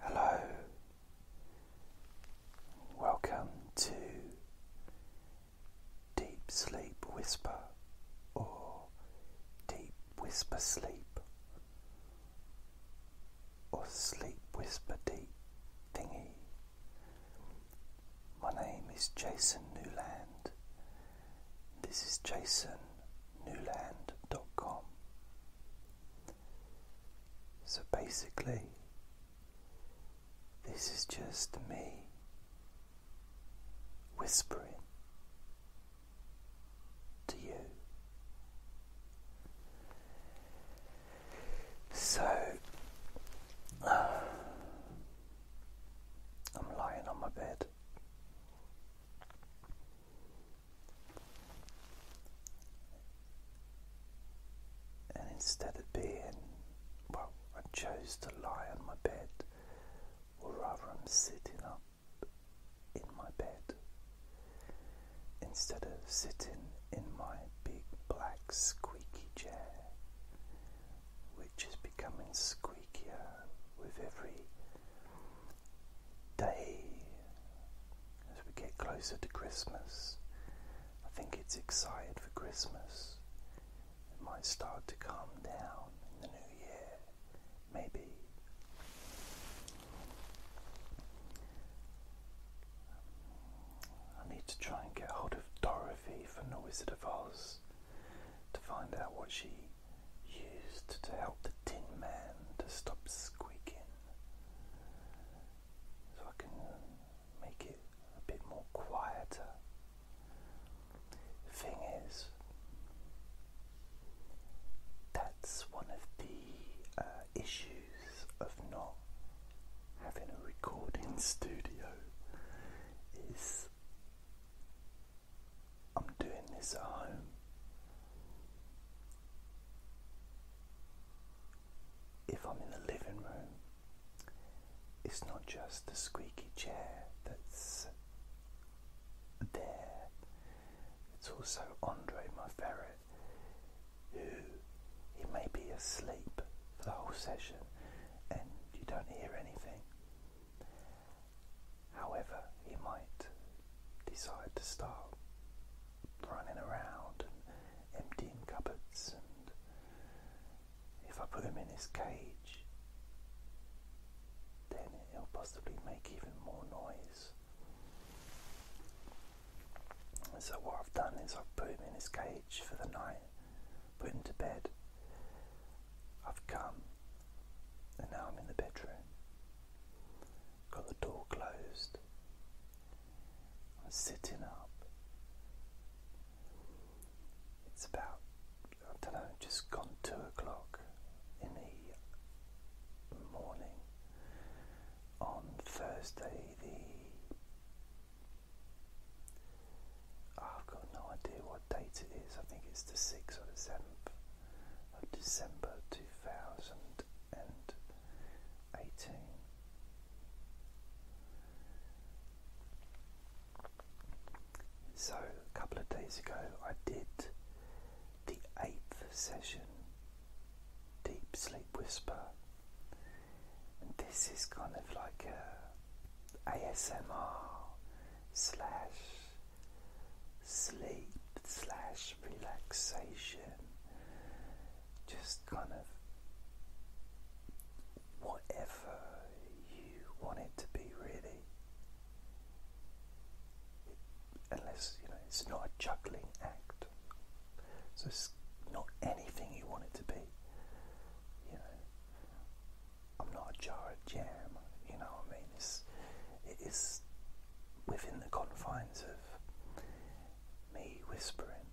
Hello, welcome to Deep Sleep Whisper or Deep Whisper Sleep or Sleep Whisper Deep Thingy. My name is Jason Newland, this is jasonnewland.com. So basically, this is just me whispering to you. So I'm lying on my bed and instead of being, well, I chose to lie on my bed, or rather, I'm sitting up in my bed instead of sitting in my big black squeaky chair, which is becoming squeakier with every day as we get closer to Christmas. I think it's excited for Christmas. It might start to calm down in the new year, maybe. I need to try and get hold of Dorothy from The of Oz to find out what she used to help the Tin Man to stop squeaking so I can make it a bit more quieter. thing is, that's one of the uh, issues of not having a recording studio is I'm doing this at home. If I'm in the living room, it's not just the squeaky chair that's there, it's also Andre, my ferret, who he may be asleep for the whole session and you don't hear anything. However, he might decide to start running around and emptying cupboards, and if I put him in his cage, then he'll possibly make even more noise. So, what I've done is I've put him in his cage for the night, put him to bed, I've come, and now I'm in the bedroom. Got the door closed. I'm sitting up. It's about, I don't know, just gone two o'clock in the morning on Thursday the. I've got no idea what date it is. I think it's the 6th or the 7th of December 2018. So, a couple of days ago, I did the eighth session, Deep Sleep Whisper, and this is kind of like a ASMR slash sleep slash relaxation, just kind of whatever you want it to be, really. unless you know it's not a chuckling act, so it's not anything you want it to be. You know, I'm not a jar of jam. You know what I mean? It's it is within the confines of me whispering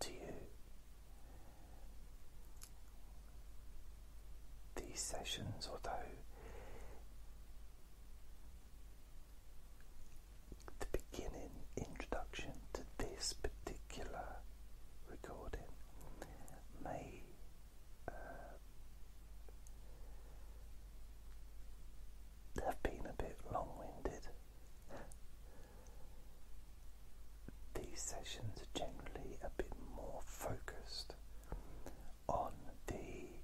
to you. These sessions, although the beginning introduction to this particular recording may um, have been a bit long winded. These sessions are generally a bit more focused on the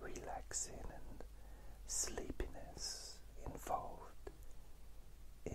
relaxing and sleepiness involved in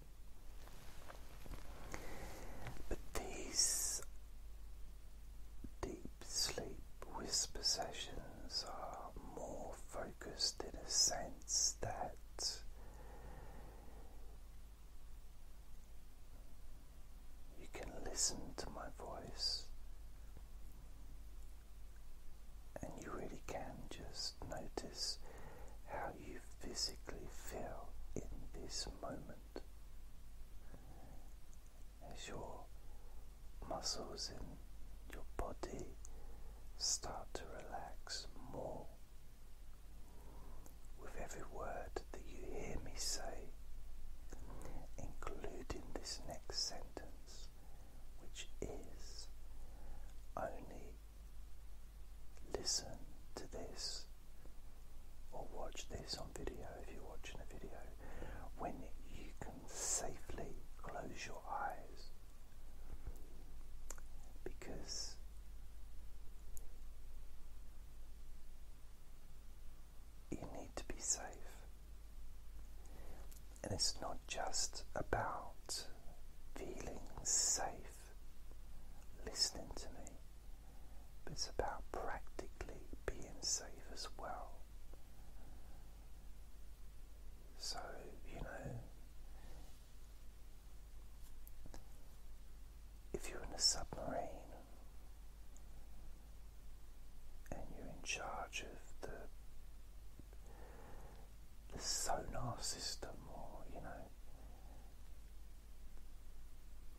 But these deep sleep whisper sessions are more focused in a sense that you can listen to my voice. And you really can just notice how you physically feel in this moment as your muscles in your body start to relax more. With every word that you hear me say, including this next sentence, which is only listen to this or watch this on video if you're watching a video when you can safely close your eyes because you need to be safe. And it's not just about feeling safe listening to me, but it's about practically being safe as well. So, you know, if you're in a submarine and you're in charge of the the sonar system, or you know,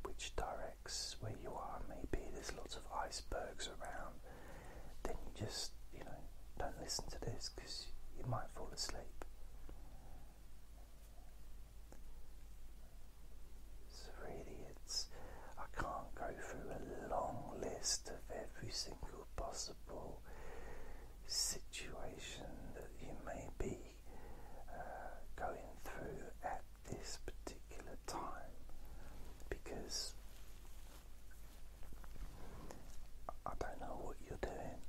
which directs where you are. Maybe there's lots of icebergs around. Then you just, you know, don't listen to this because you might fall asleep. So really, it's I can't go through a long list of every single possible situation that you may be uh, going through at this particular time because I don't know what you're doing.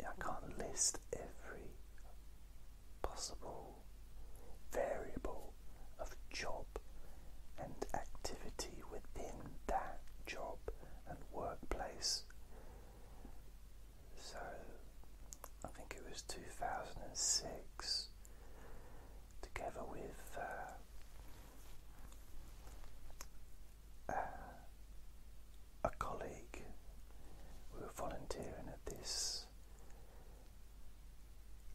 I can't list every possible variable of job and activity within that job and workplace. So I think it was 2006, together with uh, uh, a colleague, we were volunteering at this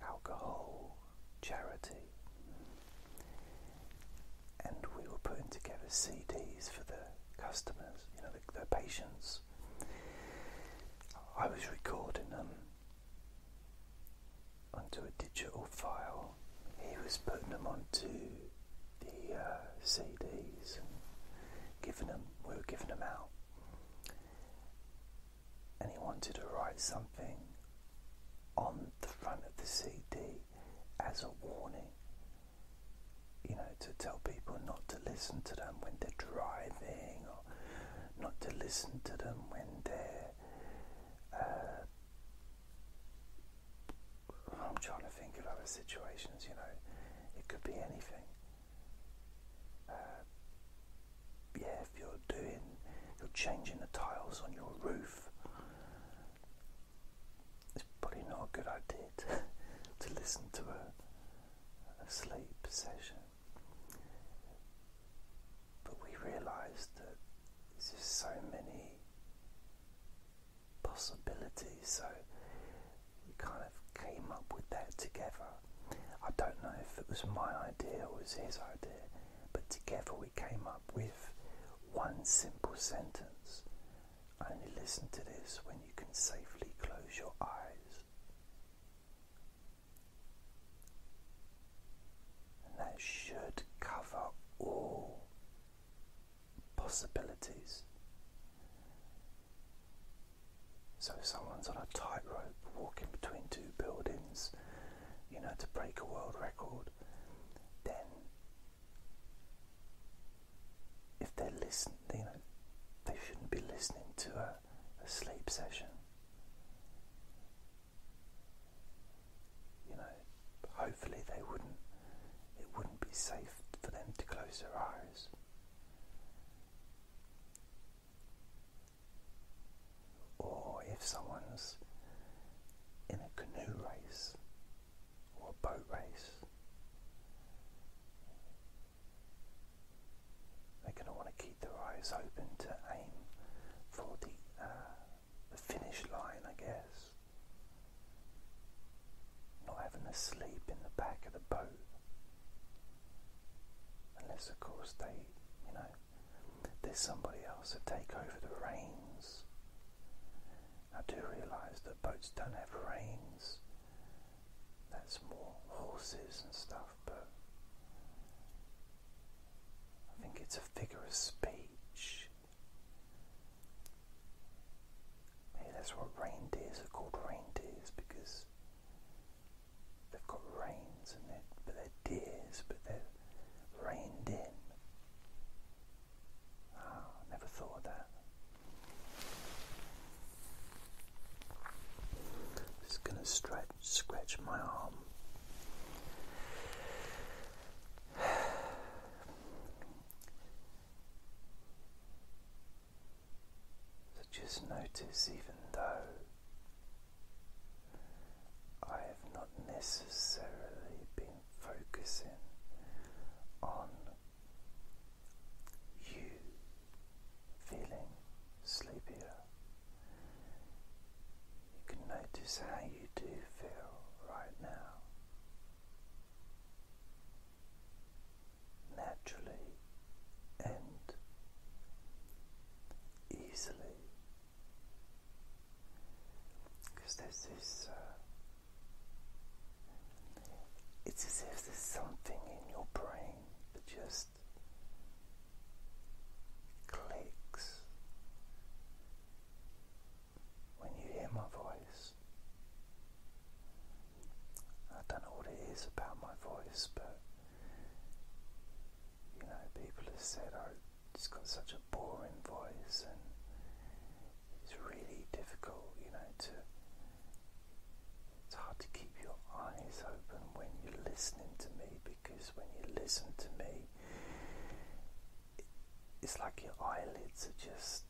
alcohol charity and we were putting together CDs for the customers, you know, the, patients. I was recording them onto a digital file. He was putting them onto the uh, CDs and giving them. We were giving them out, and he wanted to write something on the front of the CD as a warning. You know, to tell people not to listen to them when they're driving, or not to listen to them when they're. Uh, I'm trying to think of other situations, you know, it could be anything. Uh, yeah, if you're doing, you're changing the tiles on your roof, it's probably not a good idea to, listen to a, sleep session. But we realised that there's just so many possibilities, so we kind of came up with that together. I don't know if it was my idea or his idea, but together we came up with one simple sentence. Only listen to this when you can safely close your eyes. And that should cover all possibilities. So if someone's on a tightrope walking between two buildings, you know, to break a world record, then if they're listening, they shouldn't be listening to a, a sleep session. You know, hopefully they wouldn't. It wouldn't be safe for them to close their eyes. Or if someone's in a canoe race or a boat race, they're going to want to keep their eyes open to aim for uh, the, finish line, I guess. Not having to sleep in the back of the boat. Unless, of course, they, you know, there's somebody else to take over the reins I do realise that boats don't have reins. That's more horses and stuff, but I think it's a figure of speech. Maybe that's what reindeers are called reindeers because they've got reins and they're, but they're deers, but they're reined in. I oh, never thought of that. Just gonna stretch, scratch my arm. So just notice, even though I have not necessarily been focusing on you feeling sleepier. You can notice how you do feel right now. Naturally and easily because there's this. Uh, it's as if there's something in your brain that just clicks when you hear my voice. I don't know what it is about my voice, but you know, people have said, oh, it's got such a boring voice, and it's really difficult, you know, to. It's hard to keep your eyes open when you're listening to me because when you listen to me, it's like your eyelids are just.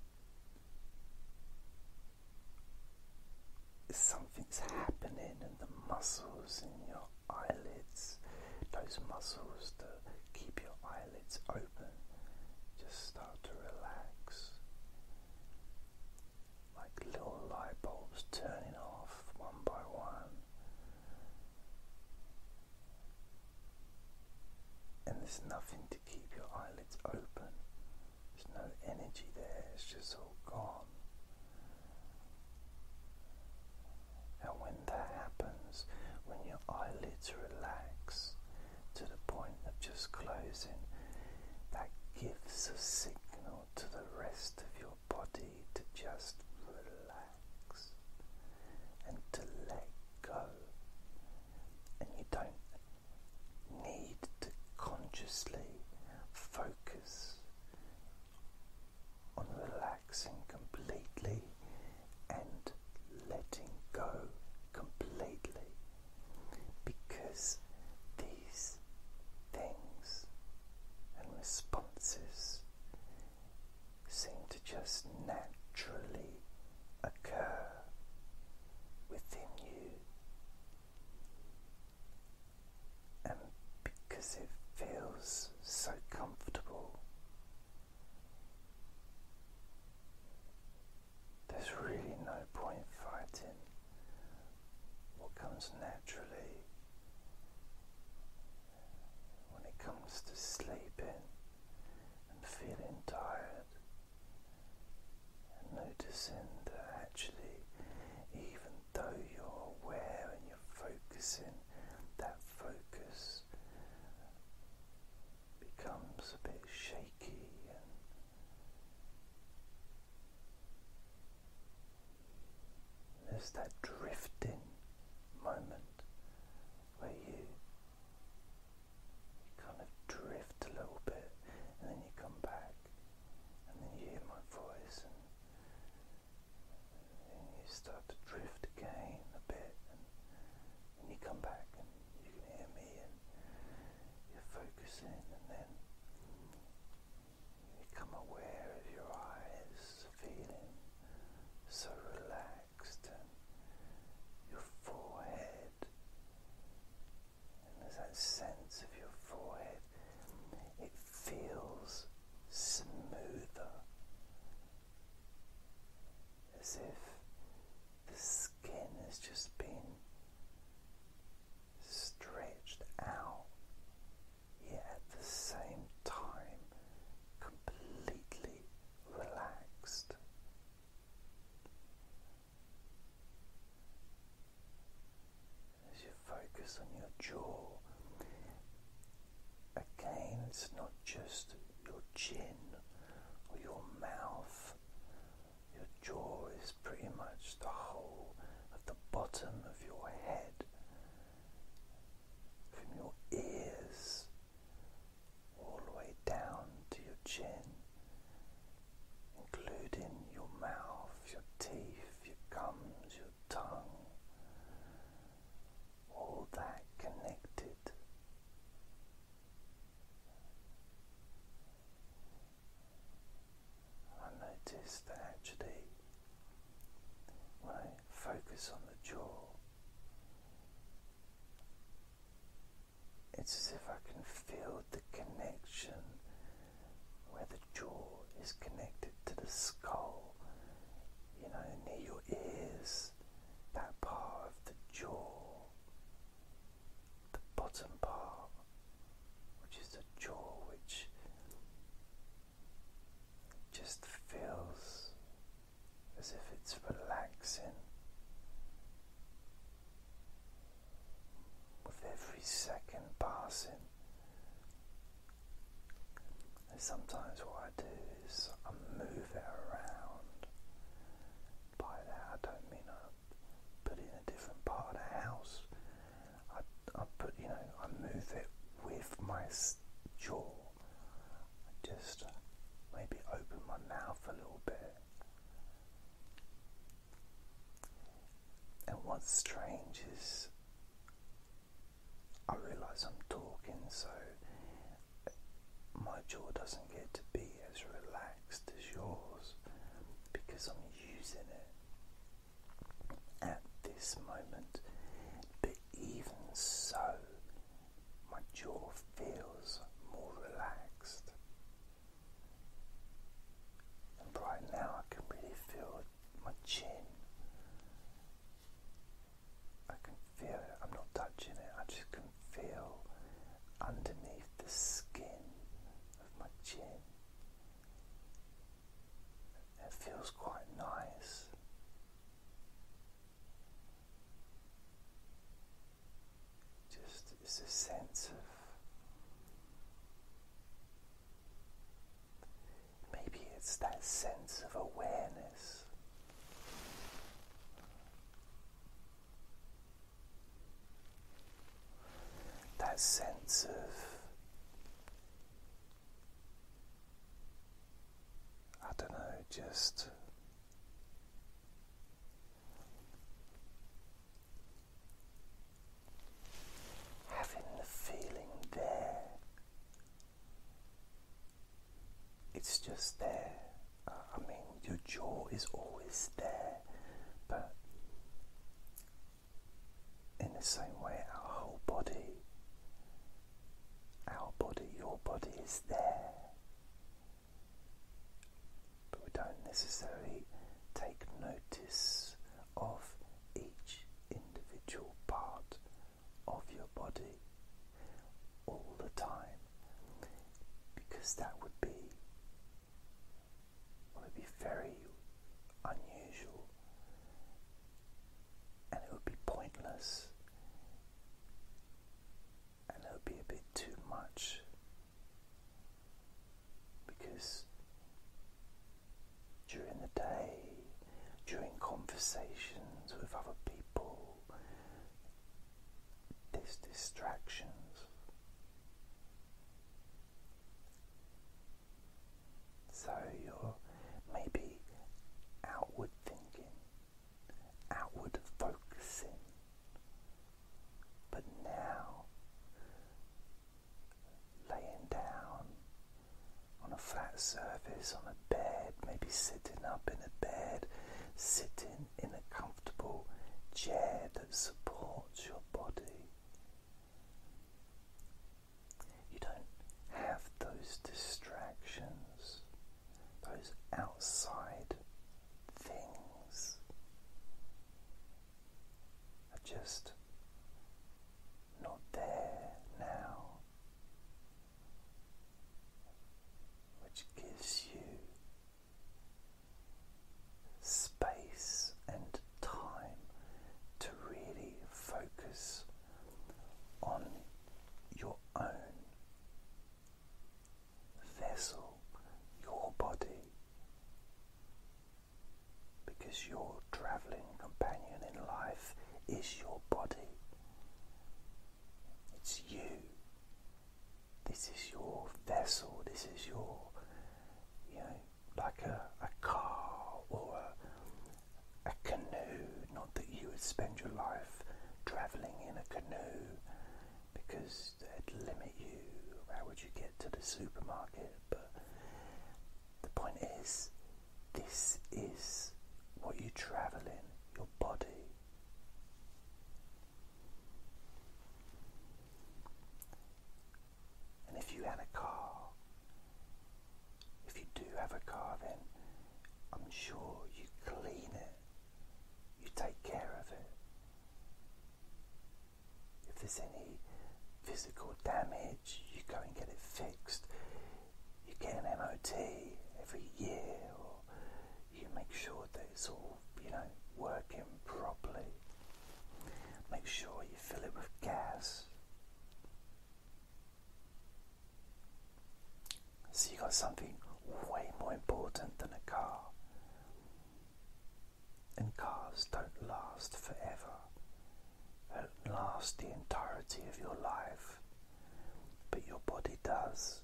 Something's happening, and the muscles in your eyelids, those muscles to keep your eyelids open just start to relax. Like little light bulbs turning off one by one. And there's nothing to keep your eyelids open. There's no energy there, it's just all gone. And when that happens, when your eyelids relax to the point of just closing, that gives a signal to the rest of your body to just relax and to let go. And you don't need to consciously focus on relaxing completely and letting go completely because these things and responses seem to just naturally occur within you. And because it feels so comfortable there's really no point fighting what comes naturally when it comes to sleeping and feeling tired and noticing that actually even though you're aware and you're focusing that focus becomes a bit shaky and there's that drifting moment where you, kind of drift a little bit and then you come back and then you hear my voice and you start to drift again a bit and and you come back and you can hear me and you're focusing and then you become aware of your eyes feeling so relaxed and your forehead and there's that sense of your forehead it feels smoother as if the skin has just been stretched out, yet at the same time completely relaxed. As you focus on your jaw, Again, it's not just your chin or your mouth, your jaw is pretty much the whole of the bottom of your head, from your ears all the way down to your chin, including your mouth, your teeth, your gums, your tongue all that connected. I notice that actually, when I focus on the jaw, it's as if I can feel the connection where the jaw is connected to the skull, you know, near your ears that part of the jaw, the bottom part, which is the jaw, which just feels as if it's relaxing with every second passing. sometimes what I do is I move it around. By that, I don't mean I put it in a different part of the house. I, I put, you know, I move it with my jaw. just maybe open my mouth a little bit. And what's strange is I realise I'm talking, so my jaw doesn't get to be as relaxed as yours because I'm using it at this moment. But even so, my jaw feels more relaxed. And right now, I can really feel my chin I can feel it. I'm not touching it. I just can feel underneath the skin of my chin. It feels quite nice. Just it's a sense of maybe it's that sense of awareness that sense of, I don't know, just having the feeling there it's just there. I mean, your jaw is always there, but in the same way, our whole body, our body, your body is there. But we don't necessarily take notice of each individual part of your body all the time because that would be would be very unusual and it would be pointless and it would be a bit too much because during the day, during conversations with other people, these distractions. So you're maybe outward thinking, outward focusing, but now laying down on a flat surface, on a bed, maybe sitting up in a bed, sitting in a comfortable chair that supports your body. You don't have those distractions, those outside things are just not there now which gives you space and time to really focus on your own vessel, your body, because your traveling companion in life is your body. It's you. This is your vessel, this is your, you know, like a, a car or a, a canoe. Not that you would spend your life travelling in a canoe because they'd limit you. How would you get to the supermarket? But the point is, this is what you travel in your body, and if you had a car, if you do have a car, then I'm sure you clean it, you take care of it. If there's any physical damage, you go and get it fixed. You get an MOT every year, you make sure that it's all, you know, working properly. Make sure you fill it with gas. So you got something way more important than a car. And cars don't last forever. They don't last the entirety of your life. But your body does.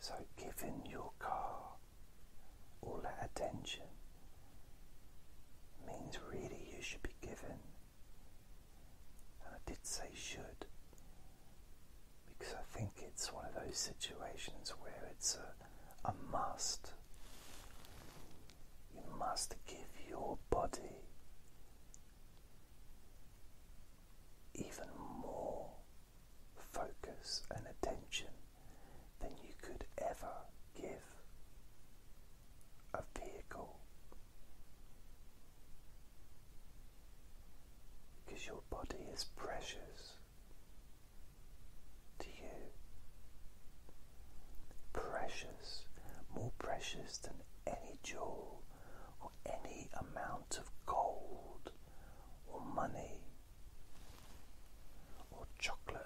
So, giving your car all that attention means really you should be given, and I did say should, because I think it's one of those situations where it's a must. You must give your body even more focus and attention than you could ever give a vehicle because your body is precious to you. Precious, more precious than any jewel or any amount of gold or money or chocolate.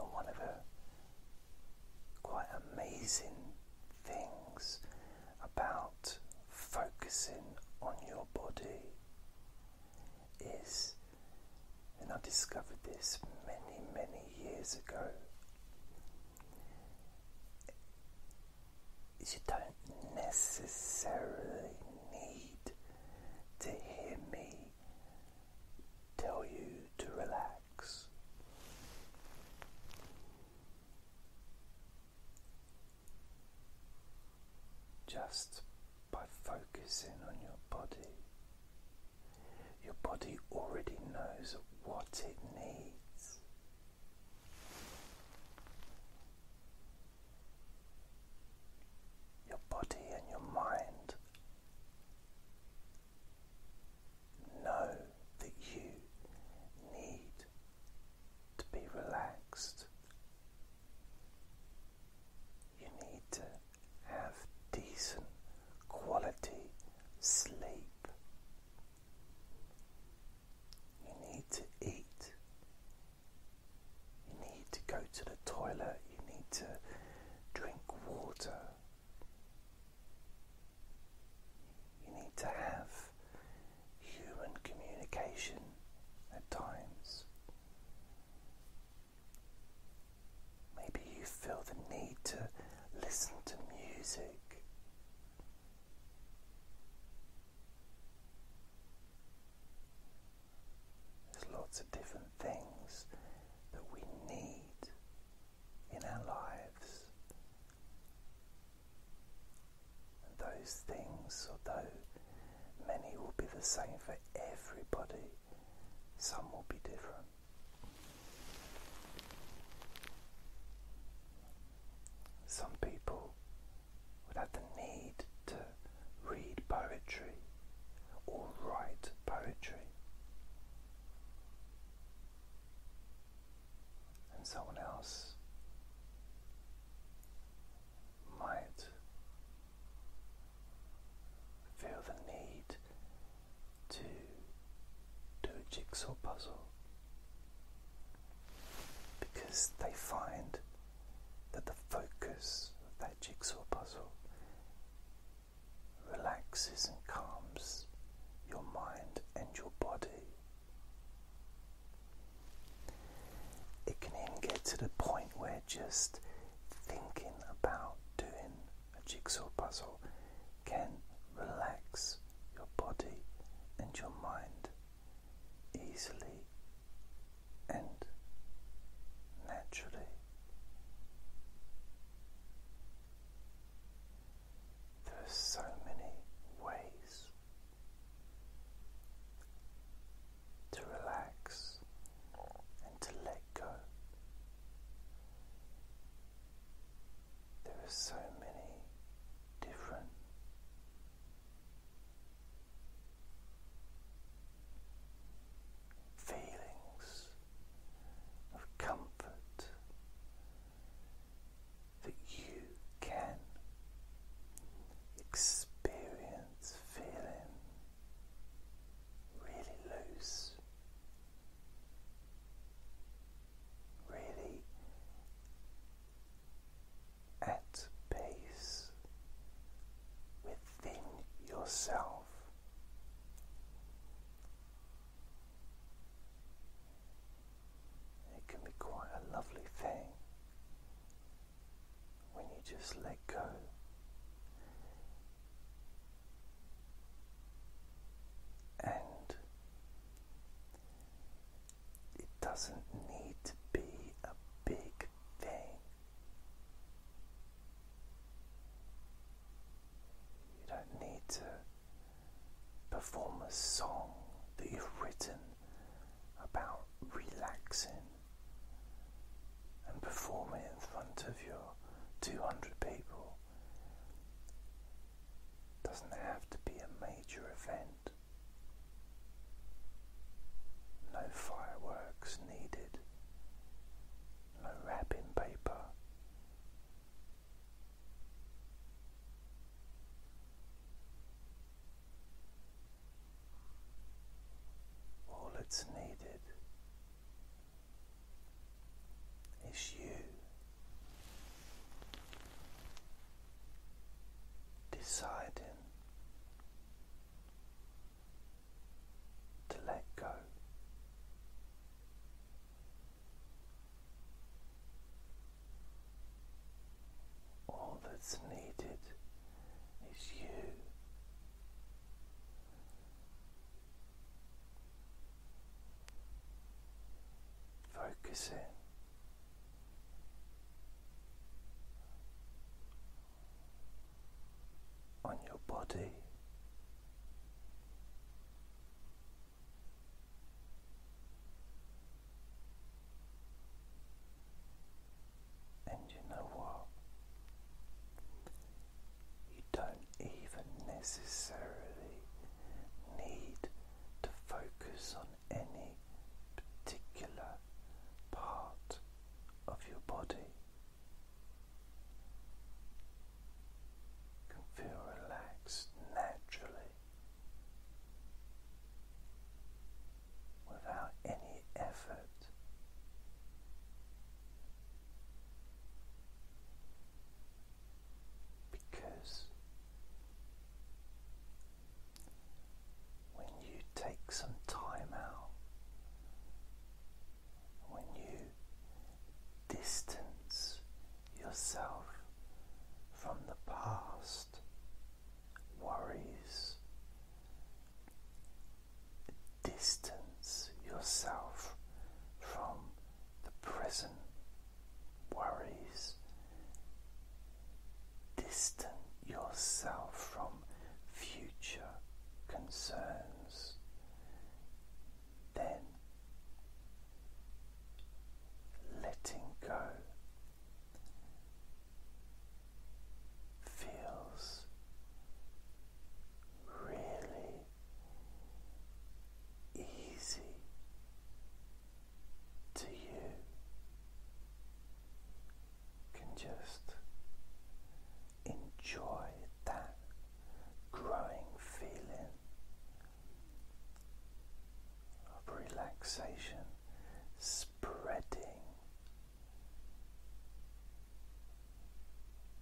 or one of the quite amazing things about focusing on your body is and I discovered this many, many years ago. You don't necessarily need to hear me tell you to relax just by focusing on your body. Your body already knows what it needs. Your body and your mind know that you need to be relaxed you need to have decent quality sleep. You need to eat. You need to go to the toilet. You need to drink water. You need to have human communication at times. Maybe you feel the need to listen to music. There's lots of different things that we need in our lives. those things, those many will be the same for everybody, some will be different. Some people would have the need to read poetry or write poetry, and someone else might feel the need to do a jigsaw puzzle because they find that the focus of that jigsaw puzzle relaxes and calms your mind and your body. It can even get to the point where just thinking about doing a jigsaw puzzle can relax your body and your mind easily and naturally. There are so many ways to relax and to let go. There are so many different feelings of comfort that you can experience feeling really loose, really at peace within yourself. It can be quite a lovely thing when you just let go. And it doesn't need to be a big thing. You don't need to perform a song that you've written about relaxing and perform it in front of your 200 people. Doesn't have to be a major event. No fireworks needed. No wrapping paper. All that's needed is you deciding to let go. All that's needed is you Focusing on your body. And you know what? You don't even necessarily need to focus on any particular part of your body. You can feel relaxed naturally without any effort. Because when you take some time out, when you distance yourself from the past, worries, distance yourself from the present worries, distant yourself from future concerns, then letting go feels really easy to you can just enjoy that growing feeling of relaxation spreading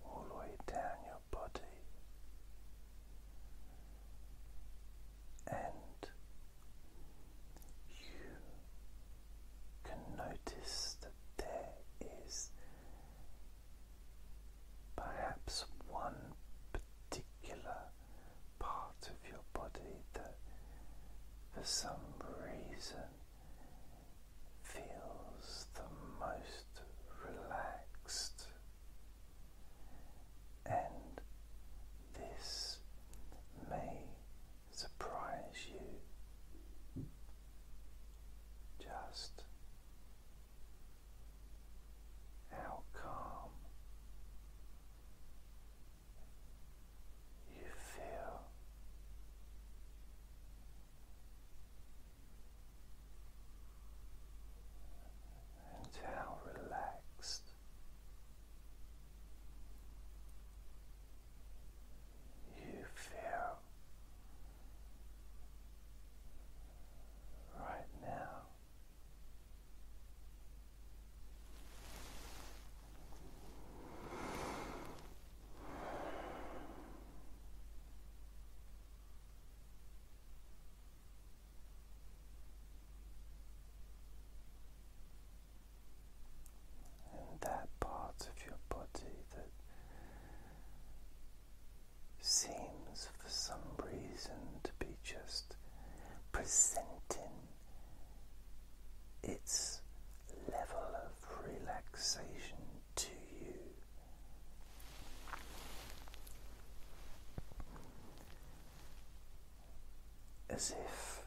all the way down your body and you can notice that there is perhaps one particular part of your body that for some reason feels the most relaxed, and this may surprise you. Just how calm you feel. And how relaxed you feel right now. And that part of your body that seems for some reason to be just presenting its level of relaxation to you. As if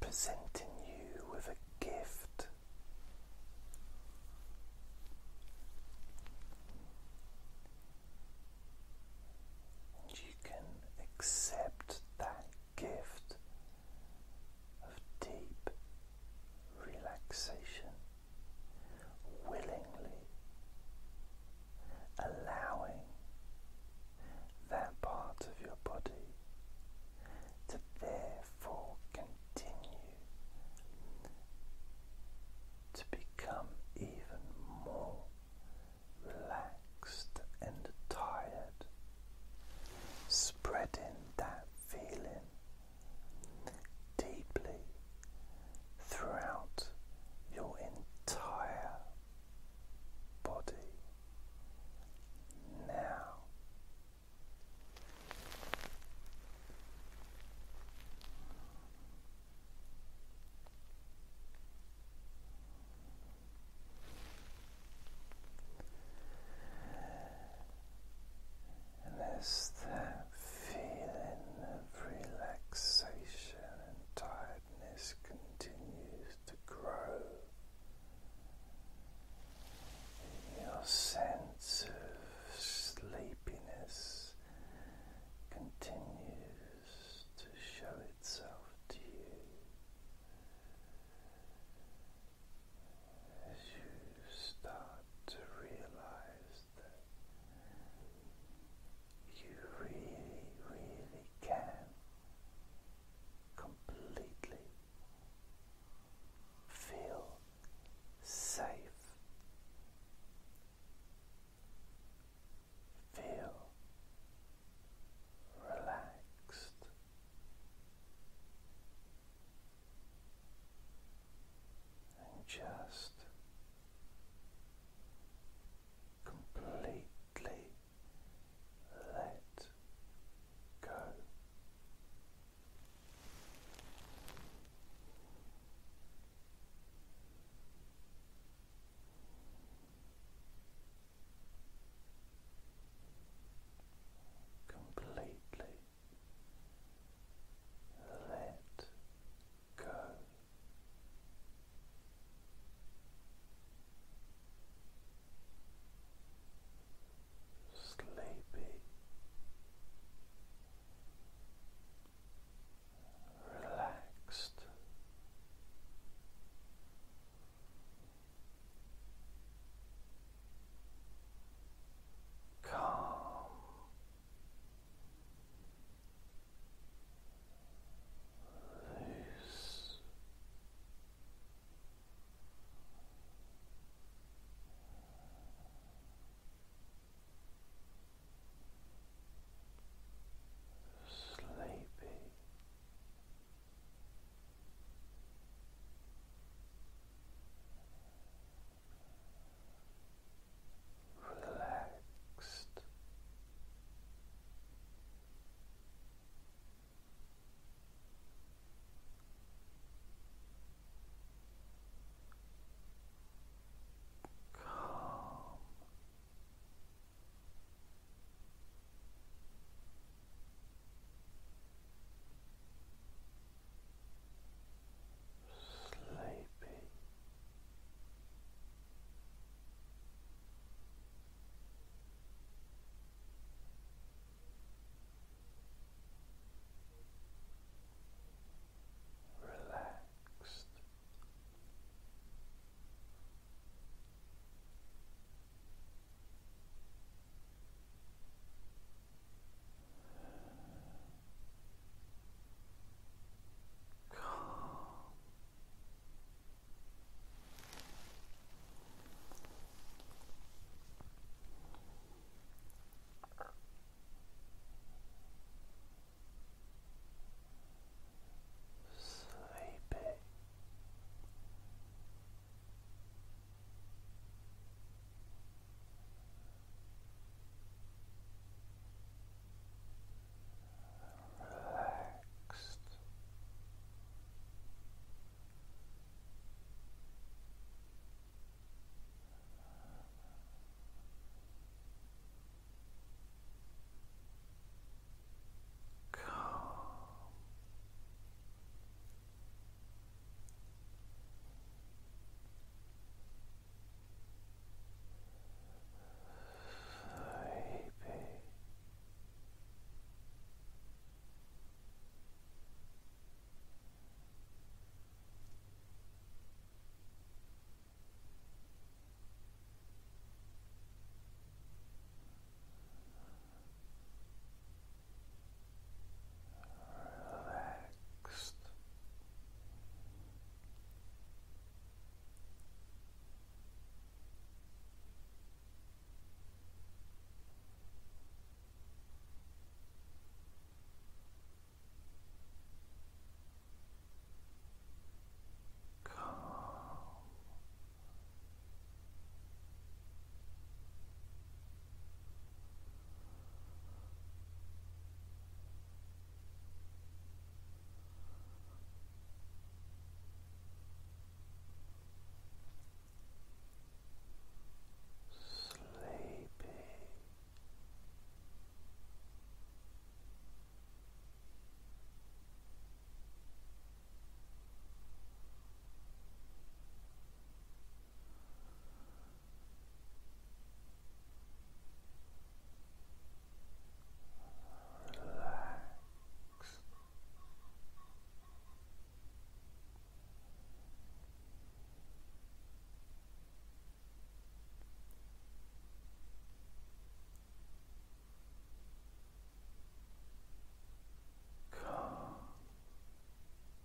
presenting you with a gift, and you can accept that gift of deep relaxation, willingly allowing that part of your body to therefore continue to become even more relaxed and tired spreading that feeling deeply throughout your entire body now. And there's that feeling of relaxation and tiredness continues to grow. Your sense of sleepiness continues to show itself to you as you start to realize that you really, really can completely feel safe, feel relaxed and just completely let go completely let go. Sleepy, relaxed, Calm, loose, sleepy relaxed. Calm sleepy. Relaxed, Calm. Sleepy Relaxed. Calm. Sleepy. Relax relaxed. Calm Sleepy. Relaxed, Relax. Calm.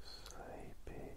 Sleepy. Relaxed.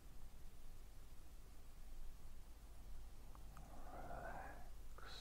relaxed. Calm.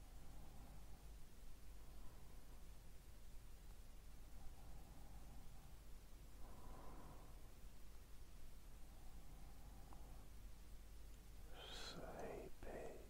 Sleepy. Relaxed.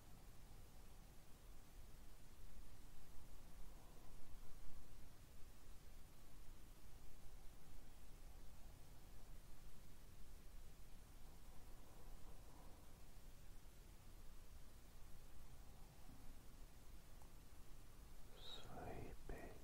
Sleepy. Relaxed.